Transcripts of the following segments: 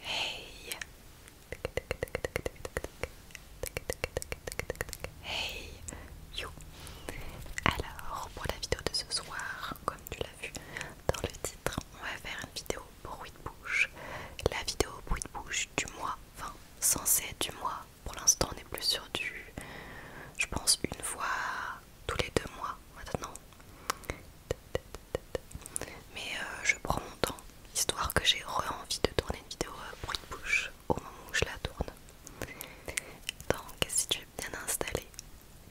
Hey Hey You Alors pour la vidéo de ce soir, comme tu l'as vu dans le titre, on va faire une vidéo bruit de bouche. La vidéo bruit de bouche du mois, enfin censée du mois. Pour l'instant on est plus sur du je pense une fois tous les deux mois maintenant mais euh, je prends mon temps, histoire que j'ai envie de tourner une vidéo pour euh, bruit de bouche au moment où je la tourne. Donc si tu es bien installé,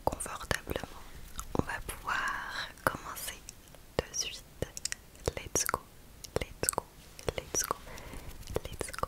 confortablement, on va pouvoir commencer de suite. Let's go, let's go, let's go, let's go.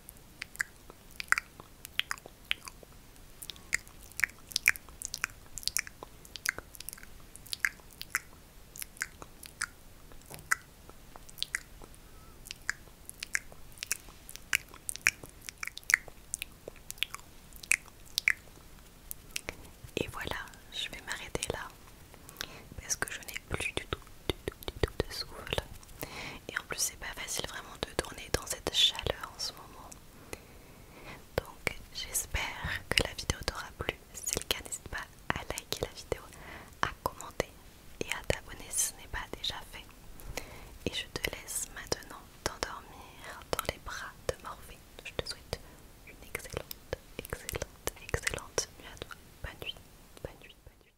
Et voilà, je vais m'arrêter là parce que je n'ai plus du tout, du tout de souffle et en plus c'est pas facile vraiment de tourner dans cette chaleur en ce moment donc j'espère que la vidéo t'aura plu si c'est le cas n'hésite pas à liker la vidéo à commenter et à t'abonner si ce n'est pas déjà fait et je te laisse maintenant t'endormir dans les bras de Morphée je te souhaite une excellente excellente excellente nuit à toi bonne nuit bonne nuit bonne nuit